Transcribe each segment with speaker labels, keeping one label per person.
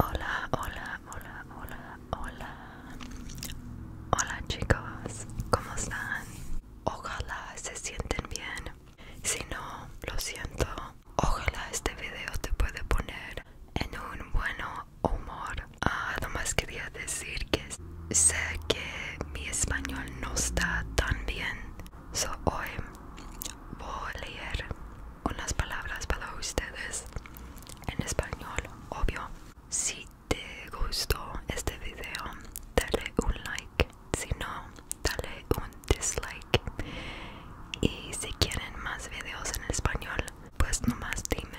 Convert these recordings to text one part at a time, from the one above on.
Speaker 1: Hola, hola, hola, hola, hola. Hola chicos, ¿cómo están? Ojalá se sienten bien. Si no, lo siento. Ojalá este video te puede poner en un buen humor. Ah, nomás quería decir que Sé que mi español no está tan bien, so hoy voy a leer unas palabras para ustedes en español, obvio. Si te gustó este video, dale un like. Si no, dale un dislike. Y si quieren más videos en español, pues nomás dime.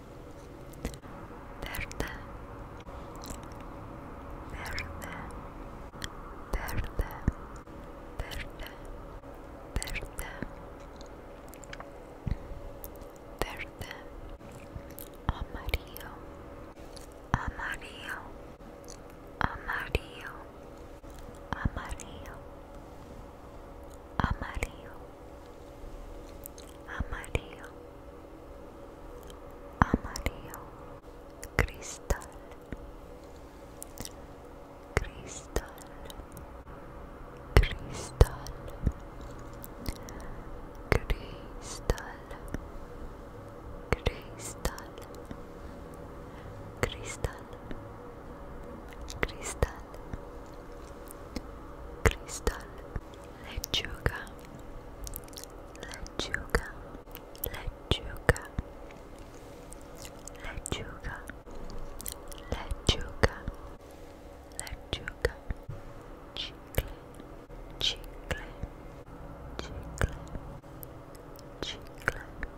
Speaker 1: verde, verde, verde, verde, verde, verde, amarillo, amarillo, amarillo, amarillo, amarillo. amarillo, amarillo, cristal, cristal, cristal, cristal, cristal, cristal. Cristal Cristal Lechuga Lechuga Lechuga Lechuga Lechuga Lechuga Chicle Chicle Chicle Chicle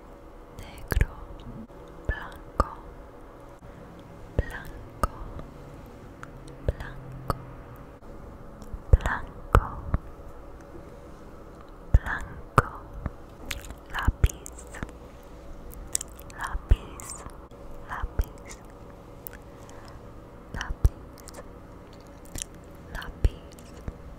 Speaker 1: negro, blanco, blanco, blanco, blanco, blanco, lápiz, lápiz, lápiz, lápiz, lápiz.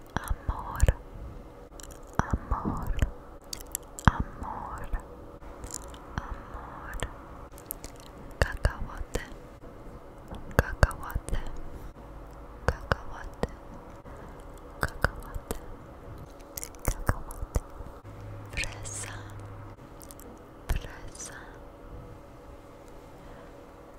Speaker 1: amor, amor, amor, amor, cacahuate, cacahuate, cacahuate, cacahuate, cacahuate, fresa, fresa.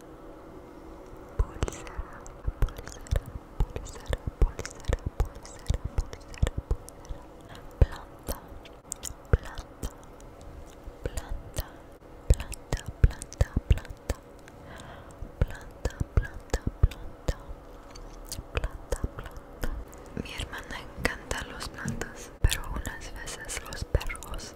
Speaker 1: planta, planta, planta, planta, planta, planta, planta, planta, planta, planta, Mi hermana encanta los plantas, pero unas veces los perros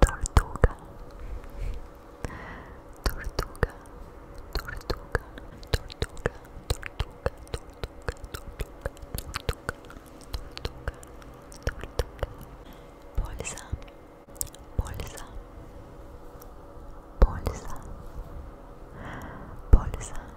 Speaker 1: Tortuga. Tortuga. Tortuga. Tortuga. Tortuga. Tortuga. Tortuga. Tortuga. Tortuga. Tortuga. Bolsa. Bolsa. Bolsa. Bolsa.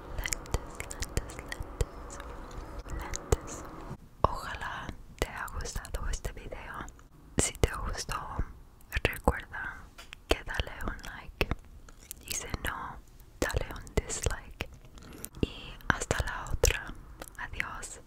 Speaker 1: lentes, lentes, lentes. Ojalá te haya gustado este video. Si te gustó, recuerda que dale un like. Y si no, dale un dislike. Y hasta la otra. Adiós.